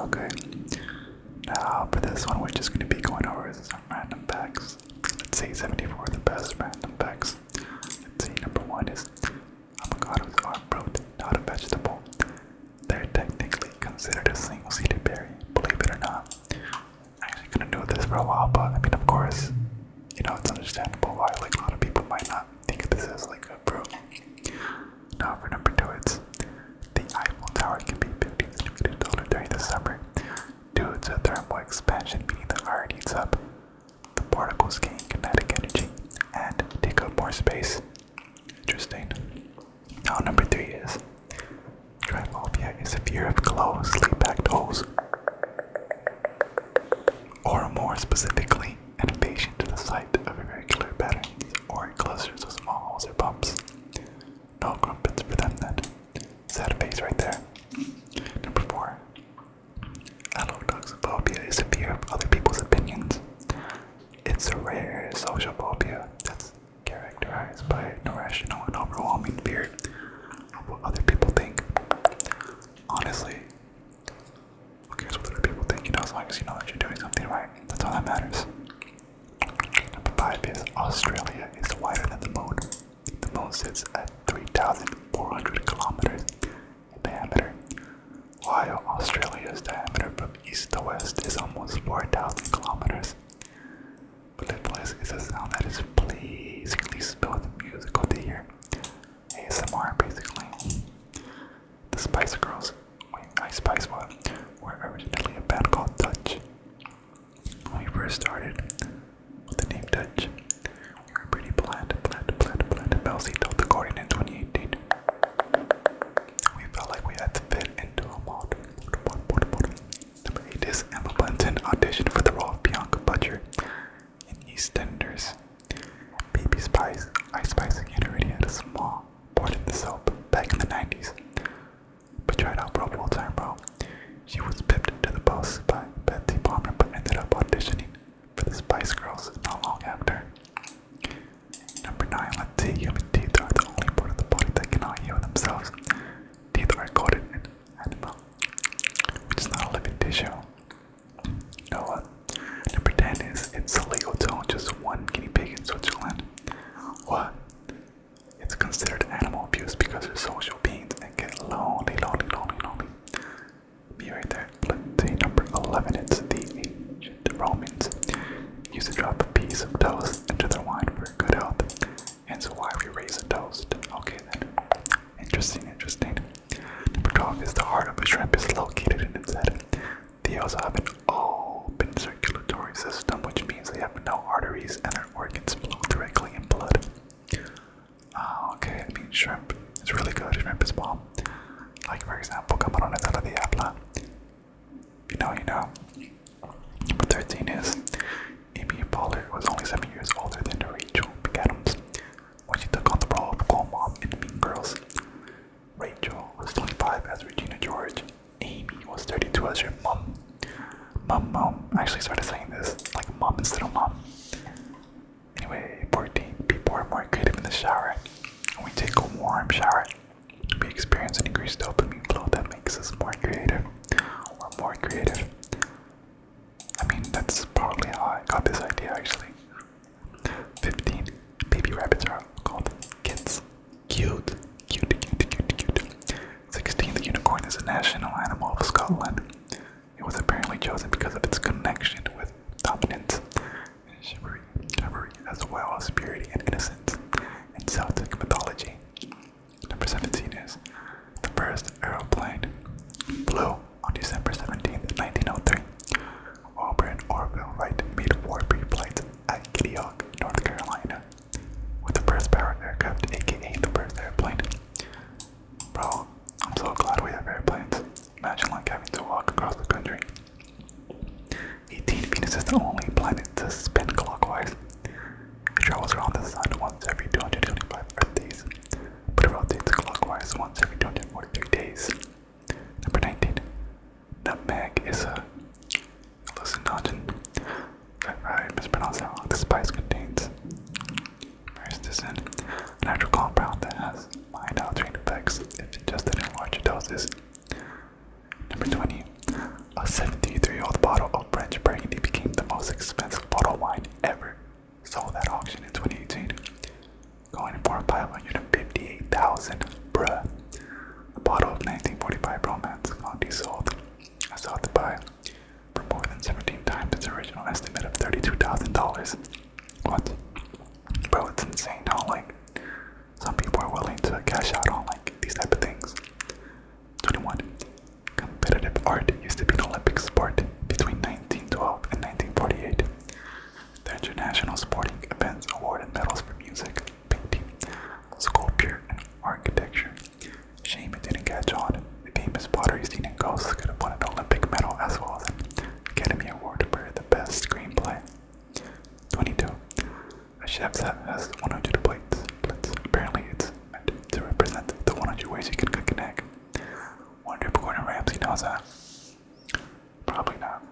Okay, now for this one, we're just going to be going over some random packs. Let's see, 74 the best random packs. Let's see, number one is avocados are fruit, not a vegetable. They're technically considered a single seeded berry, believe it or not. I'm actually going to do this for a while, but I mean, of course, you know, it's understandable why like a lot of people might not think of this as like a fruit. Now for number two, it's the Eiffel Tower can be $15 million during the summer due to thermal expansion, meaning the iron heats up, the particles gain kinetic energy, and take up more space. Interesting. Now number three is Triphobia is a fear of closed, sleep-packed holes. Or more specifically, and a patient to the sight of a very clear pattern, or in clusters of small holes or bumps. No crumpets for them then. a face right there. Number four. Adult is a fear of other people's opinions. It's a rare social phobia that's characterized by an irrational and overwhelming fear of what other people think. Honestly, who cares what other people think? You know, as long as you know that you're doing something right, that's all that matters. Number five is Australia is wider than the moon. The moon sits at 3,400 kilometers in diameter, while Australia's diameter from east to west is almost 4,000 kilometers. Blipless is a sound that is pleasingly spelled musical to hear. ASMR, basically. The Spice Girls, wait, I Spice One, were originally a band called Touch. When we first started with the name Touch, we were pretty bland, bland, bland, bland. Belsey told the Guardian in 2018. We felt like we had to fit into a mold. Number 8 is Emma Bunton auditioned for the role of Bianca Butcher in EastEnders. Baby Spice, Ice Spice had already had a small part in the soap back in the 90s. But tried out Pro Bowl time, bro. She was pipped to the post by Betsy Palmer, but ended up auditioning for the Spice Girls not long after. Number 9. Let's see. Human teeth are the only part of the body that cannot heal themselves. Teeth are coated in animal, which is not a living tissue. Oh, uh, number 10 is it's illegal to own just one guinea pig in Switzerland. What? It's considered animal abuse because they're social beings and get lonely, lonely, lonely, lonely. Me right there. Let's see, number 11, it's the ancient Romans used to drop a piece of toast into their wine for good health. And so why we raise a toast. Okay then. Interesting, interesting. Number 12 is the heart of a shrimp is located in its head. They also have an open circulatory system, which means they have no arteries and their organs flow directly in blood. Uh, okay, I mean, shrimp is really good. Shrimp is bomb. Like, for example, camarones a la diabla. You know, you know. Number 13 is Amy Pollard was only 7 years older than Rachel McAdams. When she took on the role of Cool Mom in Mean Girls, Rachel was 25 as Regina George. Amy was 32 as your mom. Mom, mom. I actually started saying this like mom instead of mom. Anyway, 14. People are more creative in the shower. and we take a warm shower, we experience an increased dopamine flow that makes us more creative. We're more creative. I mean, that's partly how I got this idea actually. 15. Baby rabbits are called kits. Cute. Cute, cute, cute, cute. 16. The unicorn is a national animal of Scotland. It was apparently chosen because of its connection with dominance and chivalry, as well as purity and innocence in Celtic mythology. Number 17 is the first aeroplane flew on December 17, 1903, Auburn Orville Wright made war pre-flights at Kitty Hawk, North Carolina, with the first powered aircraft, aka the first airplane. Bro, I'm so glad we have airplanes. Imagine like having to walk across the country. 18 Venus is the only planet to spin clockwise. It travels around the sun once every 225 Earth days but it rotates clockwise once every or three days. Number 19. Nutmeg is a hallucinogen. I mispronounced that wrong. The spice contains myrcin, a natural compound that has mild altering effects if ingested in large doses. Number 20. A 73 old bottle of French Burgundy became the most expensive bottle of wine ever Saw that auction in 2018, going for 558000 Bruh. A bottle of 1945 Romance Gandhi sold I sought to buy for more than 17 times its original estimate of $32,000. What? Bro, it's insane how like some people are willing to cash out on like these type of things. 21. Competitive art used to be an Olympic sport between 1912 and 1948. The International Sporting Events awarded medals for music, painting, sculpture, and architecture. Shame it didn't catch on. The famous pottery scene in Ghosts could have won an Olympic medal as well as an Academy Award for the best screenplay. 22. A chef's hat has 100 plates. plates. Apparently, it's meant to represent the 100 ways you can cook an egg. Wonder if Gordon Ramsay knows that. Probably not.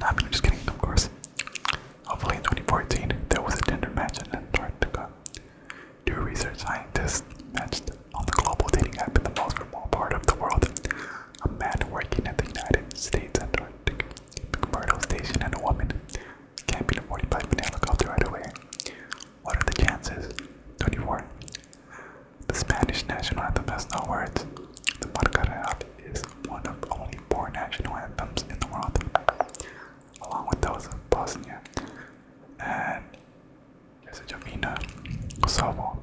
No, I'm just kidding, of course. Hopefully in 2014, there was a Tinder match in Antarctica. Two research scientists matched on the global dating app in the most remote part of the world. A man working at the United States Antarctic McMurdo Station and a woman camping a 45 minute helicopter right away. What are the chances? 24. The Spanish national anthem has no words. The Macarena is one of only four national anthems in the world, along with those of Bosnia and Herzegovina, Kosovo,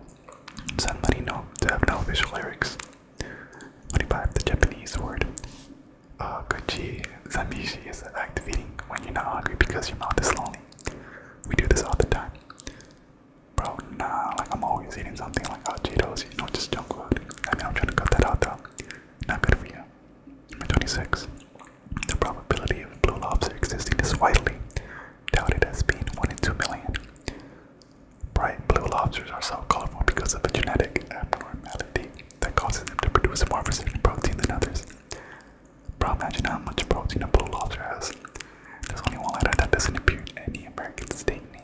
San Marino, to have no official lyrics. 25. The Japanese word uh, Gochi Zamishi is the eating when you're not hungry because your mouth is lonely. We do this all the time. Bro, nah, like I'm always eating something like hot Cheetos, you know, just junk food. I mean, I'm trying to cut that out though. Not good for you. Number 26. The probability of blue lobsters existing is widely doubted as being 1 in 2 million. Bright blue lobsters are so colorful because of a genetic abnormality that causes them to produce more of a certain protein than others. Bro, imagine how much protein a blue lobster has. There's only one letter that doesn't appear in any American state name.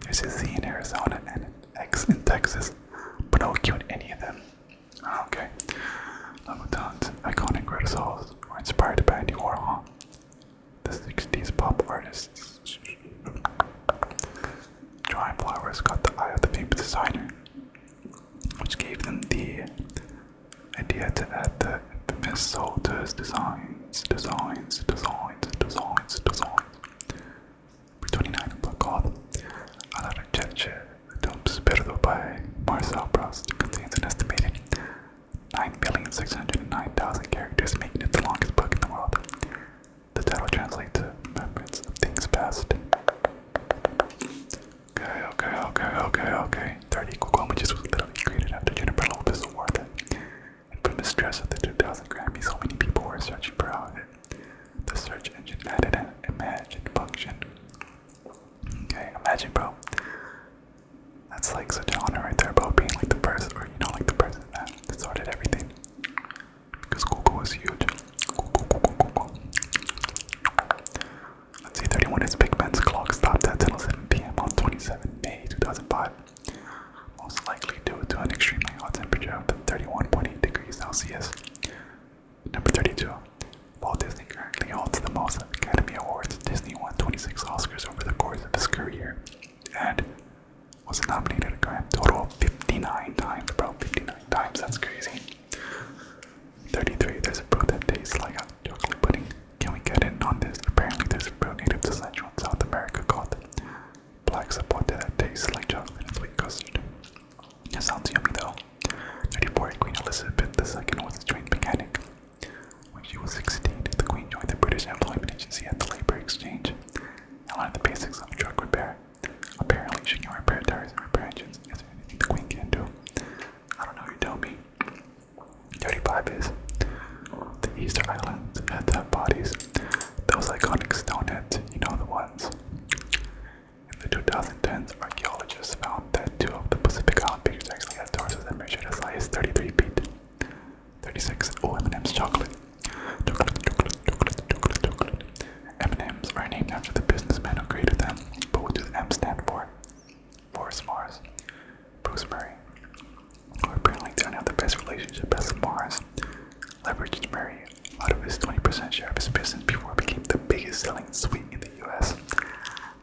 There's a Z in Arizona and an X in Texas, but no Q in any of them. Ah, okay. Lamouton's iconic red sauce inspired by Andy Warhol, the 60s pop artists. Drawing flowers got the eye of the famous designer which gave them the idea to add the infamous soldiers designs, designs, designs, designs, designs. For 29 Black Odd, a lot of gesture dumps Perdo by Marcel Proust contains an estimated 9,609,000 characters, making it the longest book in the world. The title translates to Remembrance of Things Past. Okay, okay, okay, okay, okay. Thirty. equal comages was literally created after Jennifer Lopez awarded infamous dress of the 2000 Grammy. So many people were searching for it. The search engine added an imagine function. Okay, imagine, bro. That's like such an honor right there, bro. Being like the person, or you know, like the person that sorted everything because Google is huge. Google, Google, Google. Let's see, 31 is Big Ben's clock stopped at 10:07 p.m. on 27 May 2005. Most likely due to an extremely hot temperature of 31.8 degrees Celsius. Number 32. Walt Disney currently holds the most Academy Awards. Disney won 26 Oscars over the course of his career and was nominated a grand total of 59 times, bro. 59 times, that's crazy. 33, there's a fruit that tastes like a chocolate pudding. Can we get in on this? Apparently there's a fruit native to Central South America called black sapote that tastes like chocolate and sweet custard. It sounds yummy though. 34, Queen Elizabeth II was a trained mechanic. When she was 16, the Queen joined the British Employment Agency at the Labor Exchange and learned the basics of truck repair. Apparently, she can repair tires and repair engines. Is there anything the queen can do? I don't know. You tell me. 35 is the Easter Island. had to bodies. Those iconic stone heads, you know the ones. In the 2010s, archaeologists found that two of the Pacific Island figures actually had torsos that measured as high as 33 feet. 36. Oh, m chocolate. M&M's are named after the businessman who created them, but what do the M stand for? For Mars. Bruce Murray, who apparently didn't have the best relationship as Mars, leveraged Murray out of his 20% share of his business before it became the biggest selling sweet in the US.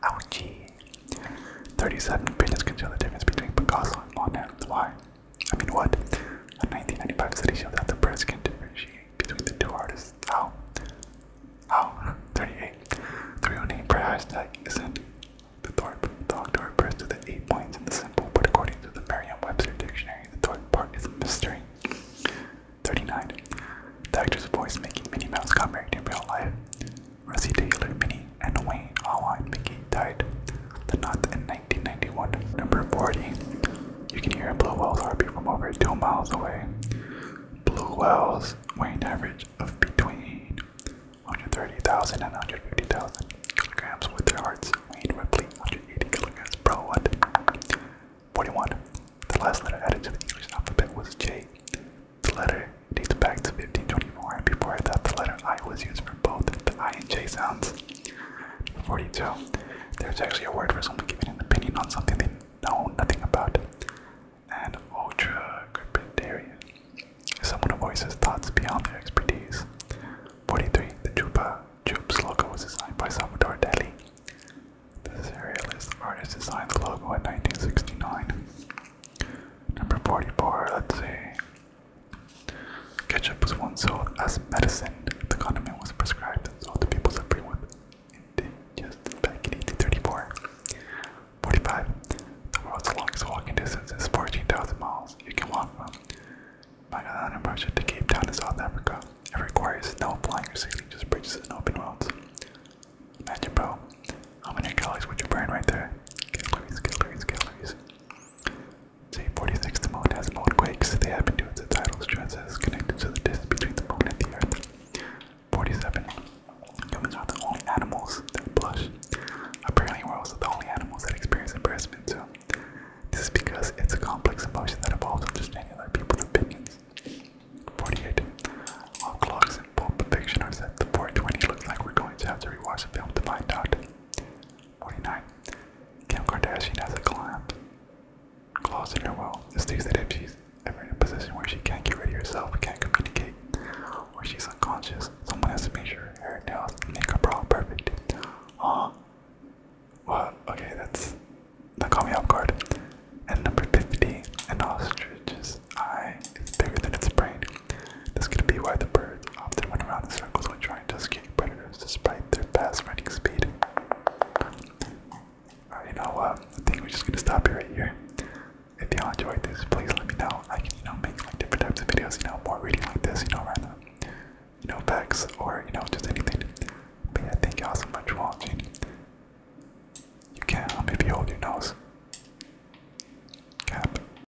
Ouchie. 37 business can tell the difference between Picasso and Monet. Why? I mean, what? A 1995 study showed that the press can differentiate between the two artists. How? How? 38. The real name per hashtag isn't the Thorpe. The doctor refers to the eight points in the symbol, but according to the Merriam-Webster dictionary, the Thorpe part is a mystery. 39. The actress voice making Minnie Mouse got married in real life. Rosie Taylor, Minnie, and Wayne Allwine Mickey died. The Knot in 1991. Number 40. You can hear a blue whale's heartbeat from over two miles away. Blue whales weigh an average of between 130,000 and 150,000 kilograms, with their hearts weighing roughly 180 kilograms per one. 41. The last letter added to the English alphabet was J. The letter dates back to 1524, and before that, the letter I was used for both the I and J sounds. 42. There's actually a word for someone giving an opinion on something they know nothing about. And ultra crepidarian someone who voices thoughts beyond their expertise. 43. The Chupa Chups logo was designed by Salvador Dali. The surrealist artist designed the logo in 1969. Number 44, let's see. Ketchup was once sold as medicine. The condiment was prescribed and sold to people suffering with indigestion back in 1834. 45. The world's longest walking distance is 14,000 miles. You can walk from Magadan in Russia to Cape Town in South Africa. It requires no flying or sailing, just bridges and open roads. Imagine, bro, how many calories would you burn right there? Calories, calories, calories. See, 46. The moon has moon quakes. They happen due to tidal stresses connected to the distance between the moon and the earth. 47. Humans are the only animals that blush. Apparently, we're also the only animals that experience embarrassment, too. This is because it's a complex emotion that involves understanding other people's opinions. 48. All clocks in pulp fiction are set to 420. Looks like we're going to have to rewatch the film to find out. 49. Kim Kardashian has a clamp. Claws in her will. This states that if she's ever in a position where she can't get rid of herself, can't communicate, or she's unconscious, someone has to make sure her nails and makeup are all perfect. Huh? Well, okay, that's the caught me off guard. And number 50, an ostrich's eye is bigger than its brain. This could be why the birds often went around in circles when trying to escape predators despite their fast running speed. you know I think we're just gonna stop it here. If y'all enjoyed this, please let me know. I can, you know, make like different types of videos, you know, more reading like this, you know, rather you know, facts or you know, just anything. But yeah, thank y'all so much for watching. You can't hold your nose. Cap.